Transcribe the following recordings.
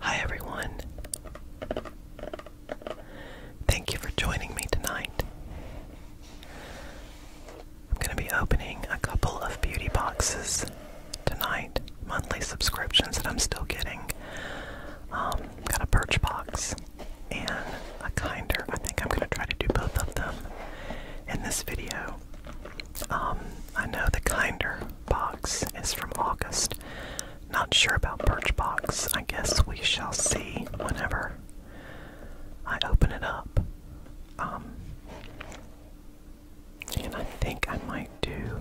Hi everyone. Thank you for joining me tonight. I'm going to be opening a couple of beauty boxes tonight, monthly subscriptions that I'm still getting. Um, got a birch box and a kinder. I think I'm going to try to do both of them in this video. Um, I know the kinder box is from August. Not sure about Birchbox. I guess we shall see whenever I open it up. Um, and I think I might do.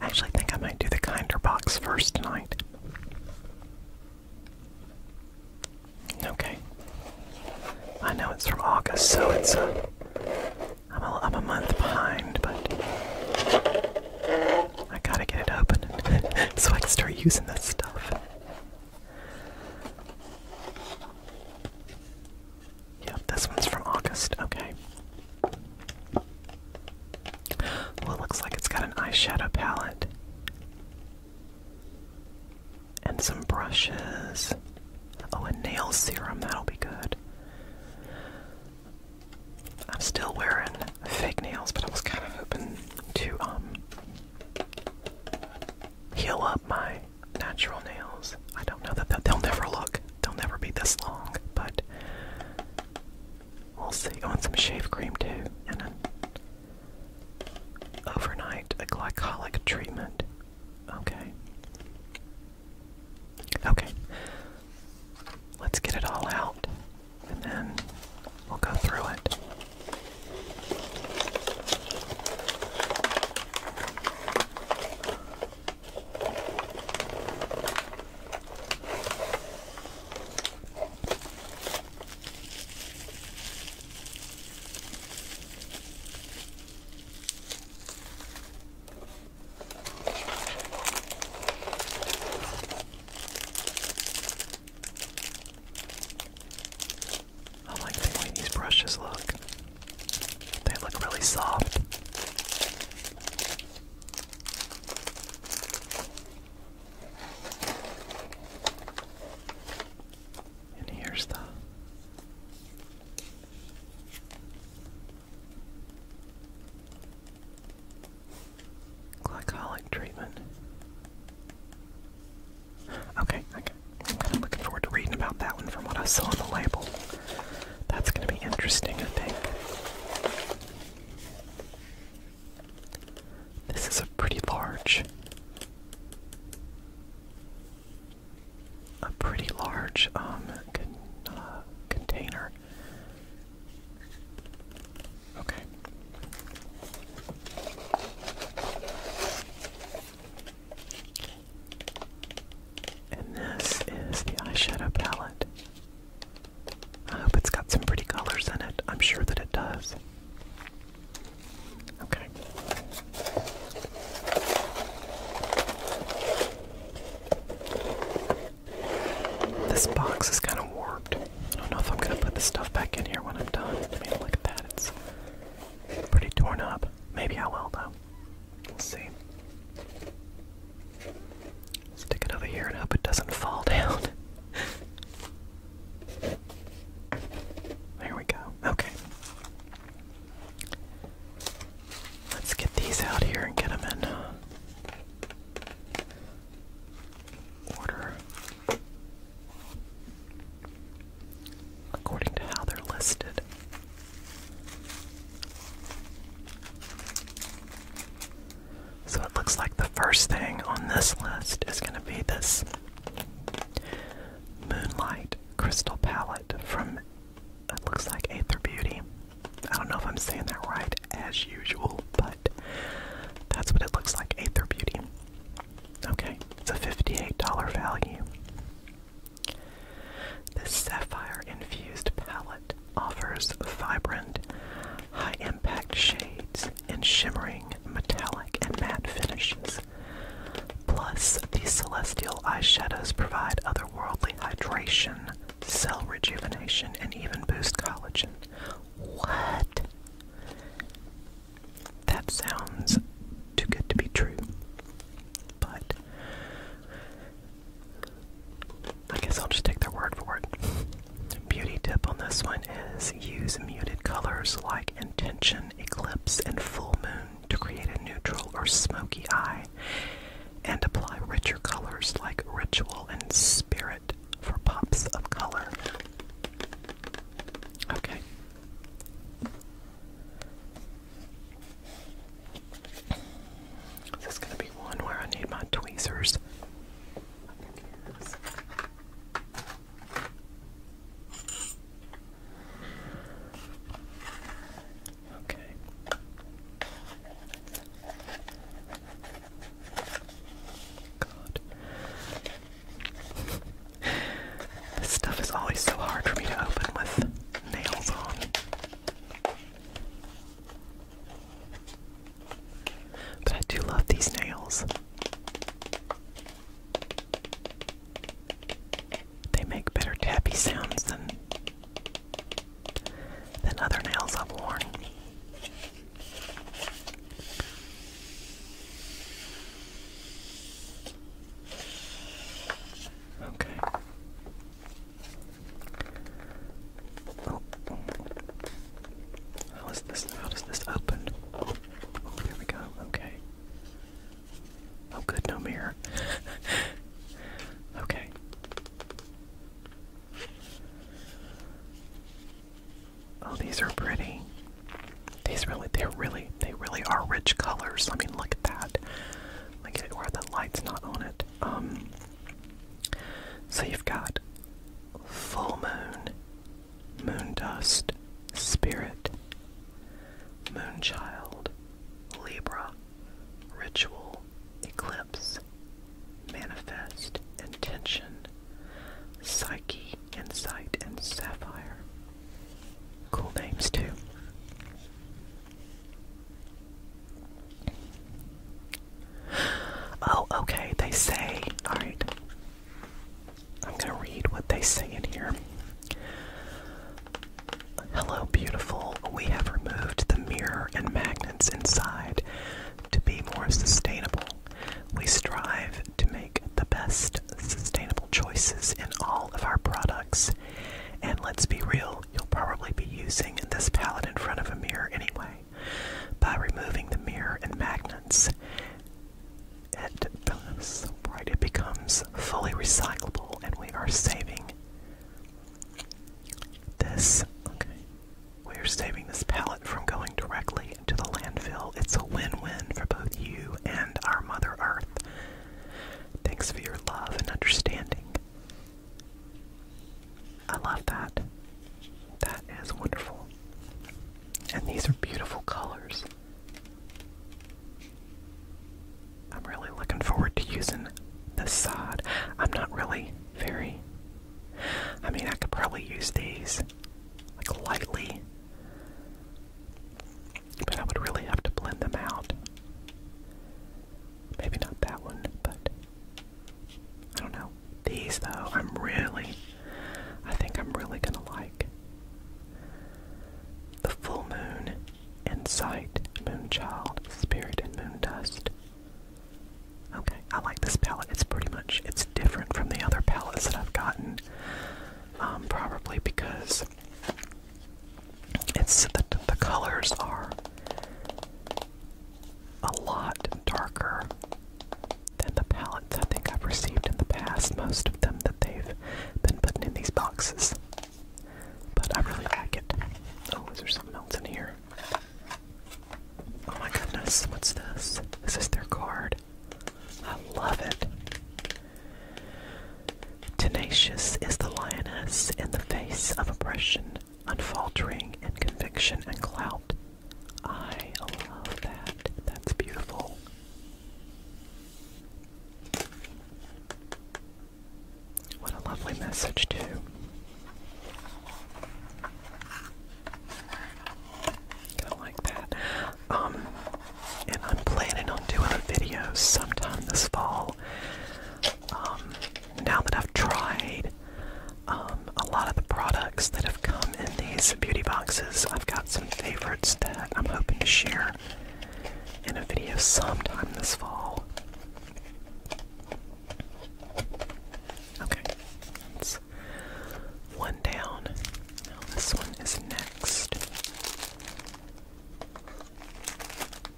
actually think I might do the kinder box first tonight. Okay. I know it's from August, so it's a. Uh, I'm a, I'm a month behind, but I gotta get it open so I can start using this stuff. Yep, this one's from August. Okay. Well, looks like it's got an eyeshadow palette and some brushes. Oh, and nail serum, that'll be good. I'm still wearing fake nails, but I was kind of hoping to um, heal up my natural nails. I don't know that they'll never look, they'll never be this long, but we'll see. I oh, want some shave cream too, and an overnight a glycolic treatment. Okay. Okay. Let's get it all out and then we'll go through it. I like the way these brushes look. They look really soft. And here's the glycolic treatment. Okay, okay. I'm kind of looking forward to reading about that one from what I saw on the label. That's going to be interesting, I think. This is a pretty large a pretty large um, uh, container. Okay. And this is the eyeshadow palette. I hope it's got some pretty colors in it. I'm sure that it does. Okay. This box is kind of warped. I don't know if I'm gonna put this stuff back in here when I'm done. I mean, look at that. It's pretty torn up. Maybe I will, though. We'll see. Stick it over here and hope it doesn't fall down. there we go. Okay. Let's get these out here and get them in uh, order according to how they're listed. So it looks like the first thing on this list is going to be this Moonlight crystal palette from it looks like Aether Beauty. I don't know if I'm saying that right as usual, but that's what it looks like, Aether Beauty. Okay, it's a $58 value. This sapphire infused palette offers vibrant, high impact shades and shimmering metallic and matte finishes. Plus, these celestial eyeshadows provide otherworldly hydration, cell rejuvenation, and even boost collagen. What? That sounds too good to be true. But I guess I'll just take their word for it. Beauty tip on this one is use muted colors like intention, eclipse, and full moon to create a neutral or smoky eye and apply richer colors like ritual and spirit for pops of color. Okay. This going to be one where I need my tweezers. Okay. God. This stuff is always so hard for me to open with nails on. But I do love these nails. They make better tappy sounds than than other nails I've worn. Okay. Oh. How is this? How does this open? Oh, we go. Okay. Oh, good, no mirror. okay. Oh, these are pretty. These really, they're really, they really are rich colors. I mean, look at that. Look at it where the light's not on it. Um, so you've got full moon Moon dust, Spirit, Moonchild, Libra, Ritual, Eclipse, Manifest, Intention, Psyche, Insight, and Sapphire. Cool names, too. Oh, okay, they say, alright, I'm gonna read what they say in here. Hello, beautiful. We have removed the mirror and magnets inside to be more sustainable. We strive to make the best sustainable choices in all of our products. And let's be real, you'll probably be using this palette in front of a mirror anyway. By removing the mirror and magnets, it does, right? It becomes fully recyclable, and we are saving this. Okay, we are saving this pallet from going directly into the landfill. It's a win-win for both you and our Mother Earth. Thanks for your love and understanding. I love that. That is wonderful. And these are beautiful colors. I'm really looking forward to using the sod. I'm not really very. I mean, I could probably use these like lightly, but I would really have to blend them out. Maybe not that one, but I don't know. These though, I'm really. I think I'm really gonna like. The full moon and sight, moonchild, spirit, and moon dust. Okay, I like this palette. It's pretty much it's different from the other palettes that I've gotten. Um, probably because it's the colors are a lot darker than the pallets I think I've received in the past, most of them that they've been putting in these boxes. But I really like it. Oh, is there something else in here? Oh my goodness, what's this? Is this their card? I love it. Tenacious is the lioness in the face of oppression, unfaltering in conviction and clout. I love that. That's beautiful. What a lovely message, too. Gonna like that. Um, and I'm planning on doing a video sometime this fall. Um, now that I've tried um, a lot of the products that have come in these beauty boxes, I've got some favorites that I'm hoping to share in a video sometime this fall. Okay, that's one down. this one is next.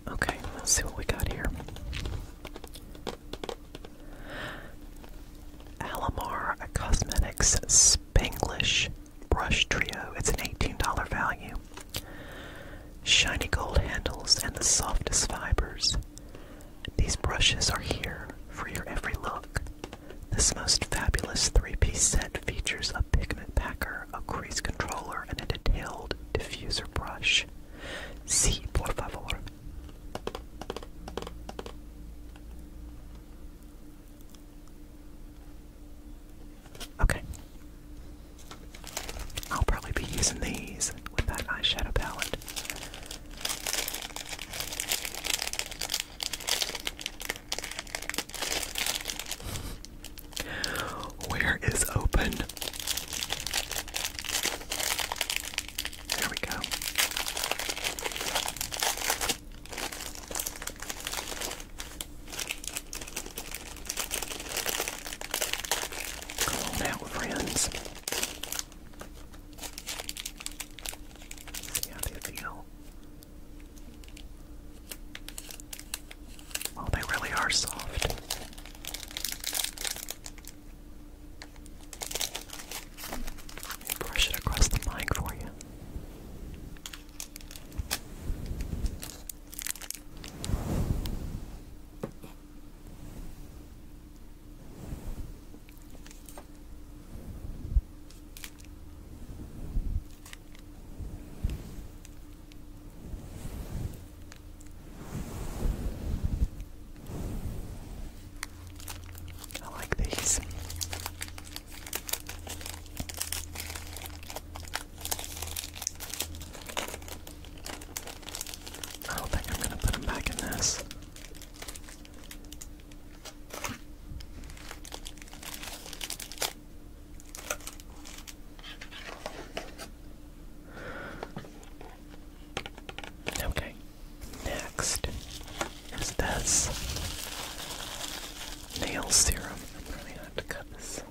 Okay, let's see what we got here. Alamar Cosmetics Spanglish Brush Trio. It's an $18 value. Shiny gold handles and the softest fibers. These brushes are here for your every look. This most fabulous three piece set features a pigment packer, a crease controller, and a detailed diffuser brush. Si, por favor. Okay. I'll probably be using these with that eyeshadow palette. Where is open? There we go. Come on now, friends. See how they feel. Well, oh, they really are soft. Let me brush it across the mic for you. I like these. I don't think I'm going to put them back in this. Okay, Next is this nail serum. I'm probably gonna have to cut this.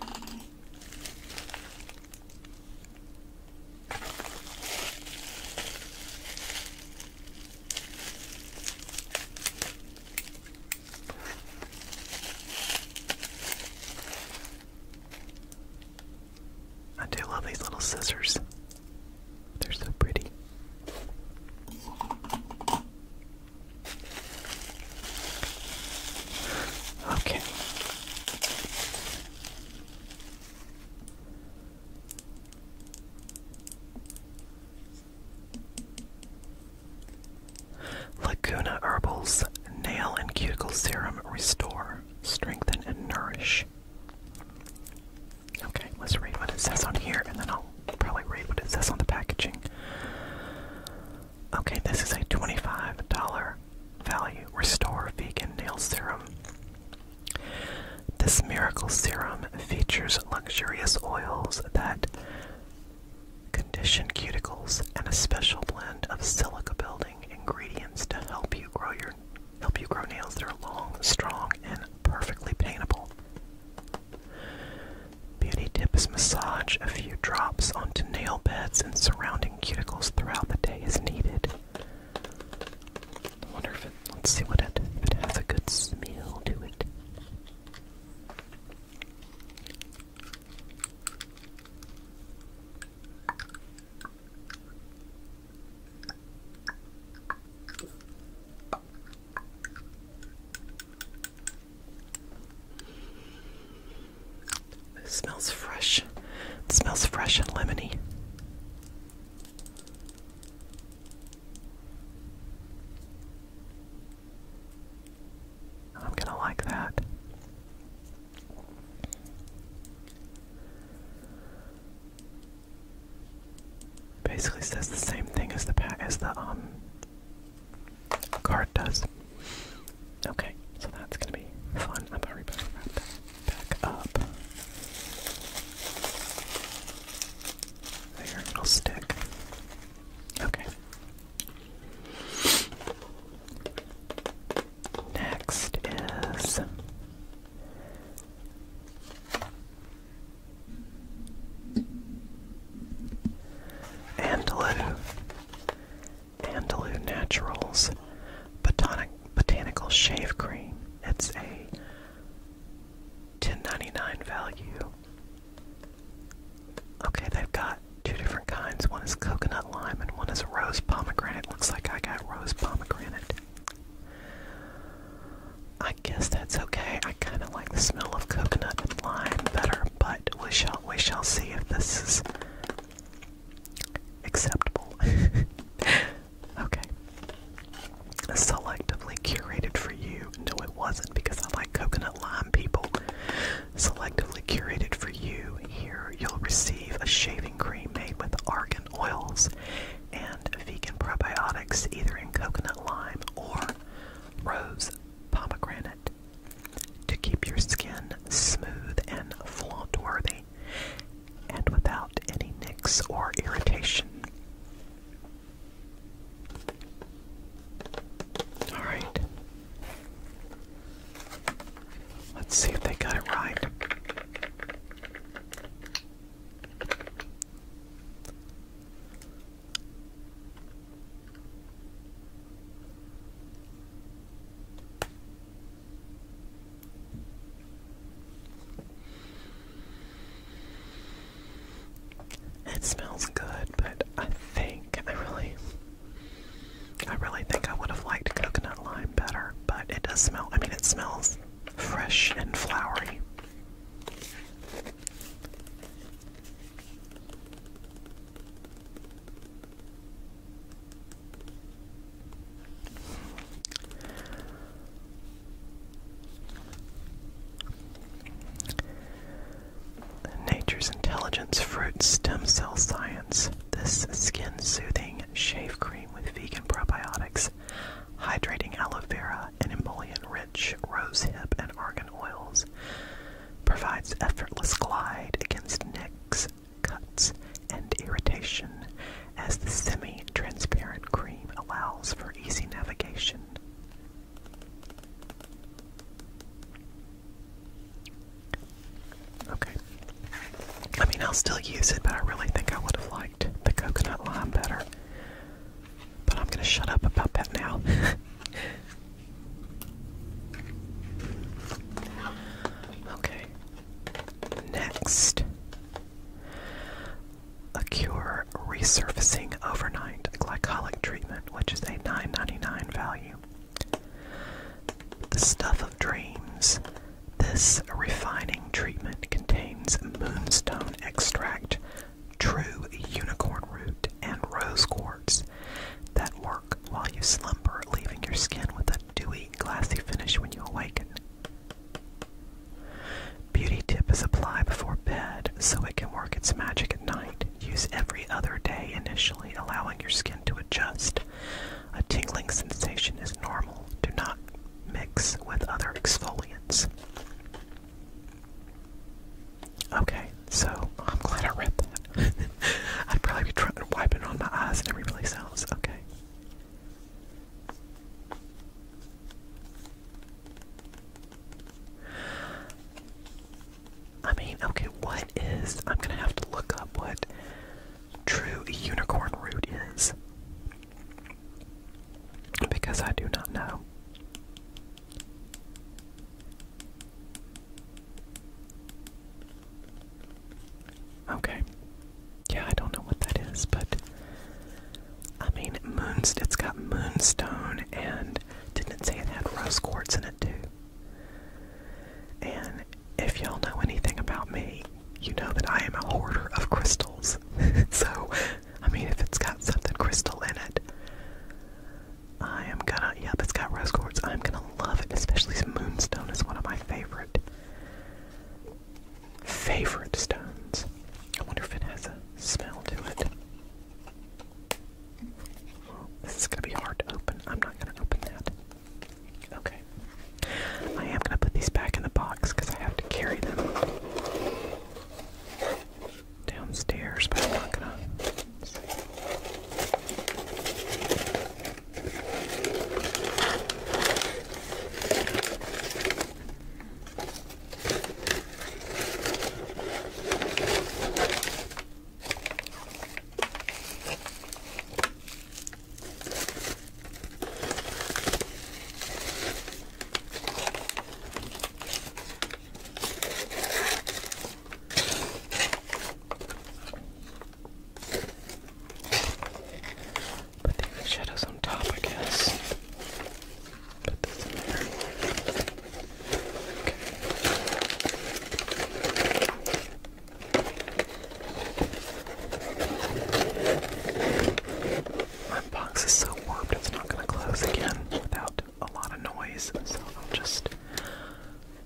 I do love these little scissors. They're so pretty. Okay. Laguna Herbals Nail and Cuticle Serum Restore, Strengthen and Nourish. Okay, let's read what it says on here and then I'll probably read what it says on the packaging. Okay, this is a $25 value Restore Vegan Nail Serum. This miracle serum features luxurious oils that condition cuticles and a special blend of silica building ingredients to help you grow your help you grow nails that are long, strong, and perfectly paintable. Beauty tip is massage a few drops onto nail beds and surrounding cuticles throughout the day as needed. wonder if let's see what it, it has a good smell to it smells fresh. smells fresh and lemony. I'm going to like that. Basically says the same thing as the as the um card does. Okay, so that's gonna be fun. I'm already better wrap that back up. There, it'll stick. Okay. Next is Andalou. Andalou Naturals Botanic, Botanical Shave Cream. It's a $10.99 value. Okay, they've got two different kinds. One is coconut lime and one is rose pomegranate. Looks like I got rose pomegranate. I guess that's okay. I kind of like the smell of coconut and lime better, but we shall we shall see if this is acceptable. okay. Selectively curated for you. No, it wasn't because I like coconut lime people. Selectively curated for you. Here you'll receive a shaving cream made with argan oils and vegan probiotics either in coconut lime or rose pomegranate to keep your skin smooth and flaunt worthy and without any nicks or irritation. Alright. Let's see if they got it right. It smells good, but I think I really I really think I would have liked coconut lime better, but it does smell I mean it smells fresh and flowery. Nature's Intelligence Fruit Stem Cell Science. This skin soothing shave cream with vegan probiotics hydrating aloe vera and emollient-rich rosehip and argan oils. Provides effortless glide against nicks, cuts, and irritation, as the semi-transparent cream allows for easy navigation. Okay. I mean, I'll still use it, but I really think I would have liked the coconut lime better. But I'm going to shut up about that now. okay. Next. A cure resurfacing overnight glycolic treatment, which is a nine ninety nine value. The stuff of dreams this refining treatment contains moonstone extract, true unicorn root, and rose quartz that work while you slumber, leaving your skin with a dewy, glassy finish when you awaken. Beauty Tip is applied before bed so it can work its magic at night. Use every other day initially, allowing your skin to adjust a tingling sensation is normal. Do not mix with other exfoliants. Okay, so I'm glad I read that. I'd probably be trying to on my eyes and every place else. Okay. I mean, okay, what is. I'm gonna have to look up what true unicorn root is. Because I do not know. Okay. Yeah, I don't know what that is, but I mean, moonst has got moonstone and didn't it say it had rose quartz in it too? And if y'all know anything about me, you know that I am a hoarder of crystals. so, I mean, if it's got something crystal in it, I am gonna. Yep, it's got rose quartz. I'm gonna love it, especially moonstone is one of my favorite favorite stones. I wonder if it has a smell to it. this is gonna be hard to open. I'm not gonna open that. Okay. I am going to put these back in the box because I have to carry them downstairs, but I'm not going to. Put the shadows on top, I guess. Put this in there. Okay. My box is so warped it's not going to close again without a lot of noise, so I'll just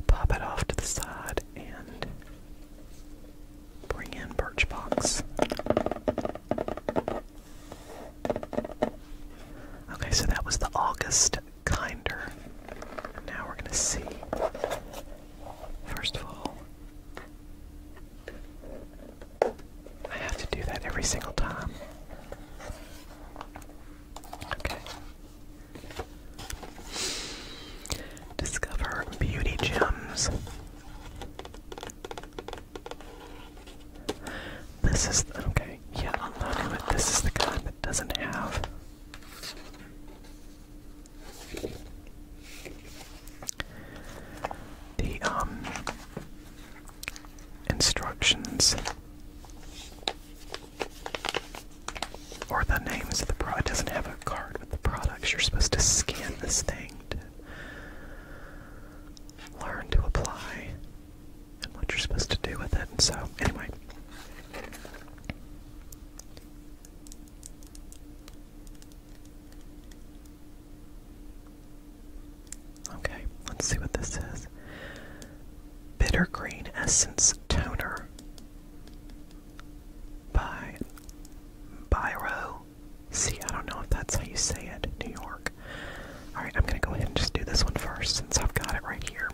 pop it off to the side and bring in Birchbox. Okay, so that was the August Kinder. And now we're going to see, first of all, I have to do that every single time. Okay. Discover beauty gems. This is okay. Yeah, I'm not it. This is the kind that doesn't have the um instructions or the names of the product doesn't have a card with the products. You're supposed to scan this thing to learn to apply and what you're supposed to do with it. And so anyway. Okay, let's see what this is. Bitter Essence Toner by Biro. See, I don't know if that's how you say it, New York. Alright, I'm gonna go ahead and just do this one first since I've got it right here.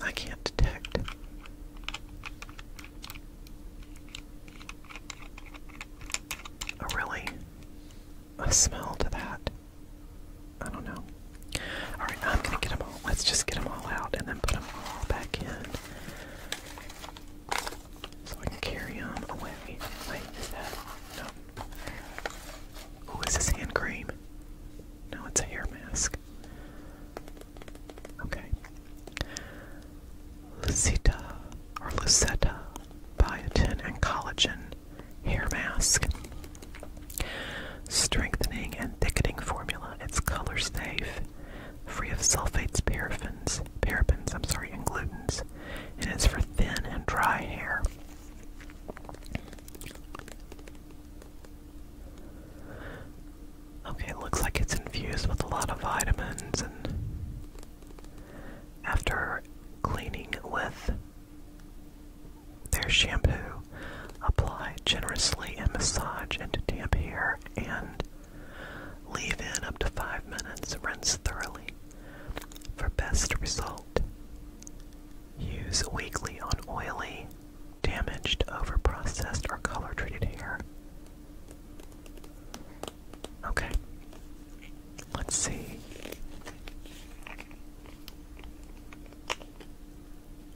I can't detect. Oh, really? A smell to that? I don't know. Alright, I'm gonna get them all. Let's just get them all out and then put them all back in. So I can carry him away. Wait, No. this hand cream? No, it's a hair mask. Okay. Lucita or Lucetta Biotin and Collagen Hair Mask. Strengthening and thickening formula. It's color safe, free of sulfates, paraffins, parabens, I'm sorry, and glutens, it's for thin and dry hair. Okay, it looks like it's infused with a lot of vitamins, and after cleaning with their shampoo, apply generously and massage into damp hair and Leave in up to 5 minutes, rinse thoroughly. For best result, use weekly on oily, damaged, overprocessed, or color treated hair. Okay, let's see.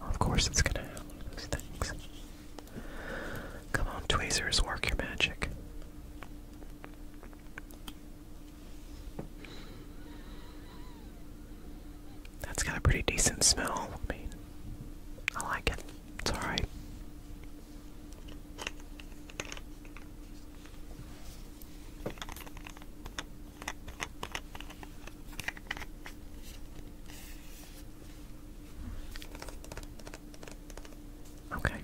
Of course, it's gonna have things. Come on, tweezers, work your magic. That's got a pretty decent smell. I mean, I like it. It's alright. Okay.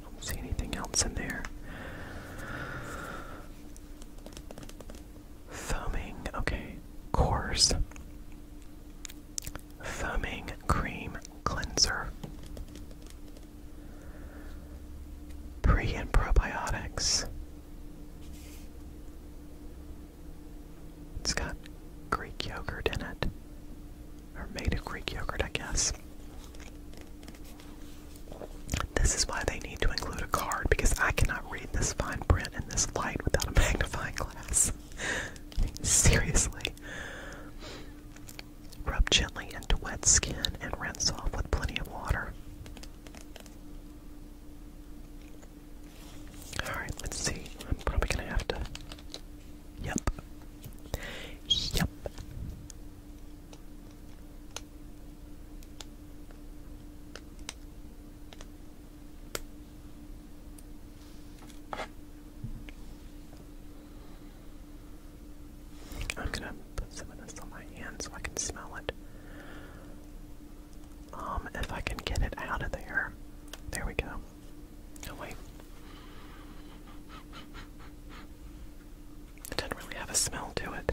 don't see anything else in there. Foaming, okay. Coarse. Foaming cream cleanser. Pre and probiotics. It's got Greek yogurt in it. Or made of Greek yogurt, I guess. This is why they need to include a card because I cannot read this fine print in this light without a magnifying glass. Seriously. Rub gently into wet skin and rinse off with plenty of water. Alright, let's see. I'm probably gonna have to. Yep. Yep. I'm gonna put some of this on my hand so I can smell it. Um, if I can get it out of there. There we go. Oh, wait. It doesn't really have a smell to it.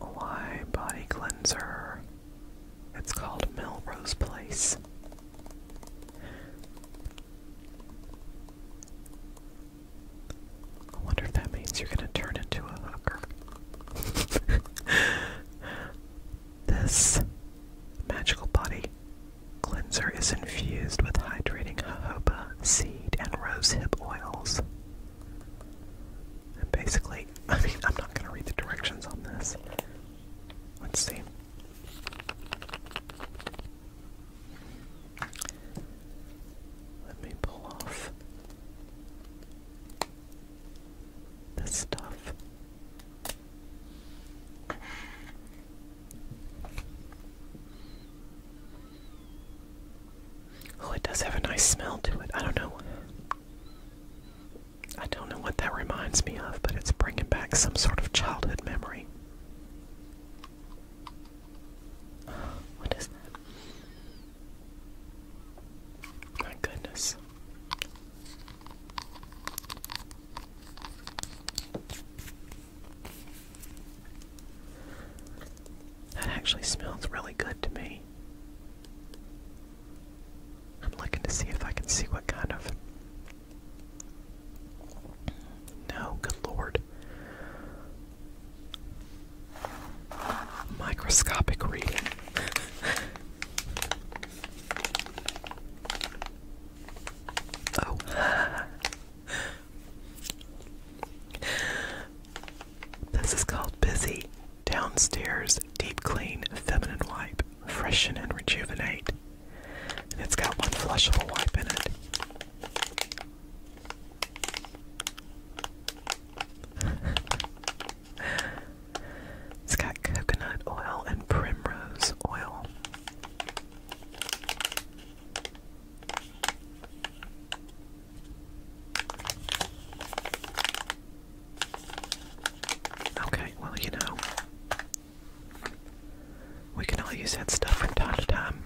Lye Body Cleanser. It's called Melrose Place. I wonder if that means you're going to turn into a hooker. this magical body cleanser is infused with hydrating jojoba seed and rosehip oils. And basically, I mean, I'm not going to read the directions on this. Let's see. Let me pull off this stuff. Oh, it does have a nice smell to it. I don't know. I don't know what that reminds me of, but it's bringing back some sort of childhood memory. What is that? My goodness. That actually smells really good to me. I'm looking to see if I can see what kind of. No, good lord. Microscopic reading. oh. this is called busy. Downstairs deep clean feminine wipe, freshen and rejuvenate. And it's got one flushable wipe in it. it's got coconut oil and primrose oil. Okay, well, you know, we can all use that stuff from time to time.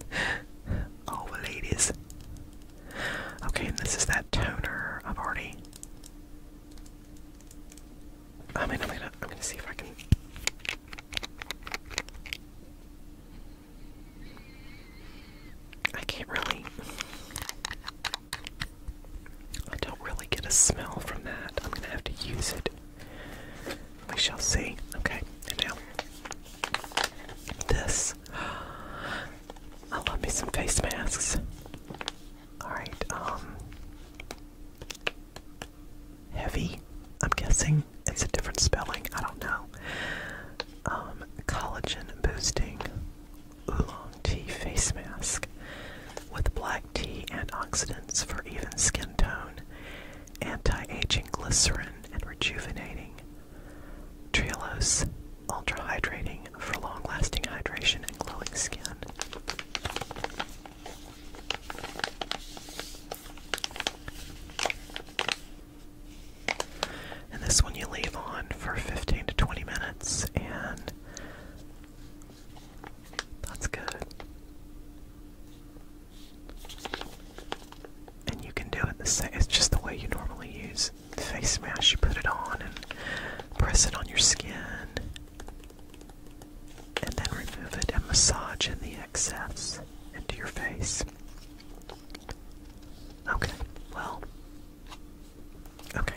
all the ladies. Okay, and this is that toner I've already. I mean, I'm gonna, I'm gonna see if I can. I can't really. I don't really get a smell from that. I'm gonna have to use it. We shall see. Okay, and now this. I love me some face masks. Alright, um, Heavy, I'm guessing. It's a different spelling. I don't know. Um, collagen boosting oolong tea face mask with black tea antioxidants for even skin tone, anti-aging glycerin and rejuvenating, Trehalose ultra hydrating for long-lasting hydration and glowing skin. And this one you leave on for 15 to 20 minutes, and that's good. And you can do it the same, it's just the way you normally use face mask. You put it on and press it on your skin, and then remove it and massage in the excess into your face. Okay, well. Okay.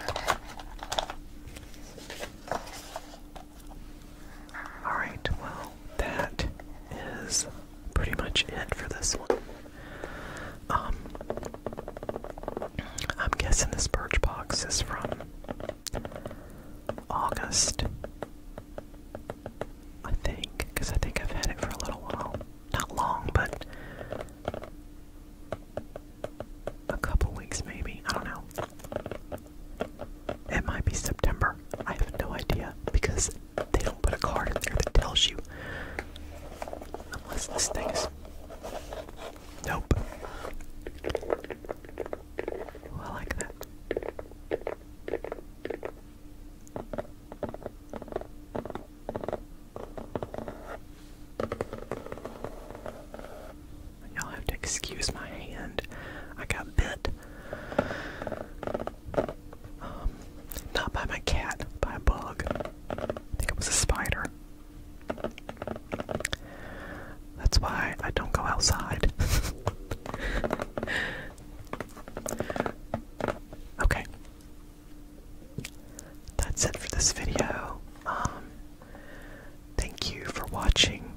Alright, well, that is pretty much it for this one. Um, I'm guessing this birch box is from August. I think, I think I've had it for a little while not long, but a couple weeks maybe. I don't know. It might be September. I have no idea because they don't put a card in there that tells you. Unless this thing is. Nope. I like that. Y'all have to excuse my hand. I got bit. Um, not by my cat, by a bug. I think it was a spider. That's why I don't go outside. okay. That's it for this video. Um, thank you for watching.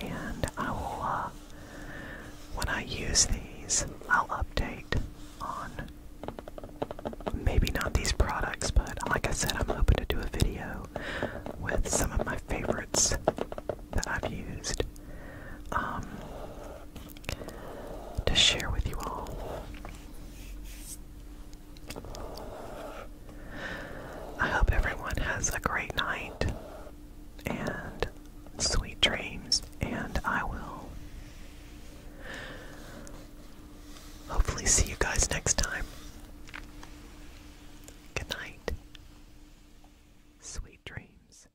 And I will, uh, when I use these, I'll update on maybe not these products, but like I said, I'm hoping to do a video with some of my favorites that I've used um, to share with you all. I hope everyone has a great night and sweet dreams, and I will hopefully see you guys next time. Good night. Sweet dreams.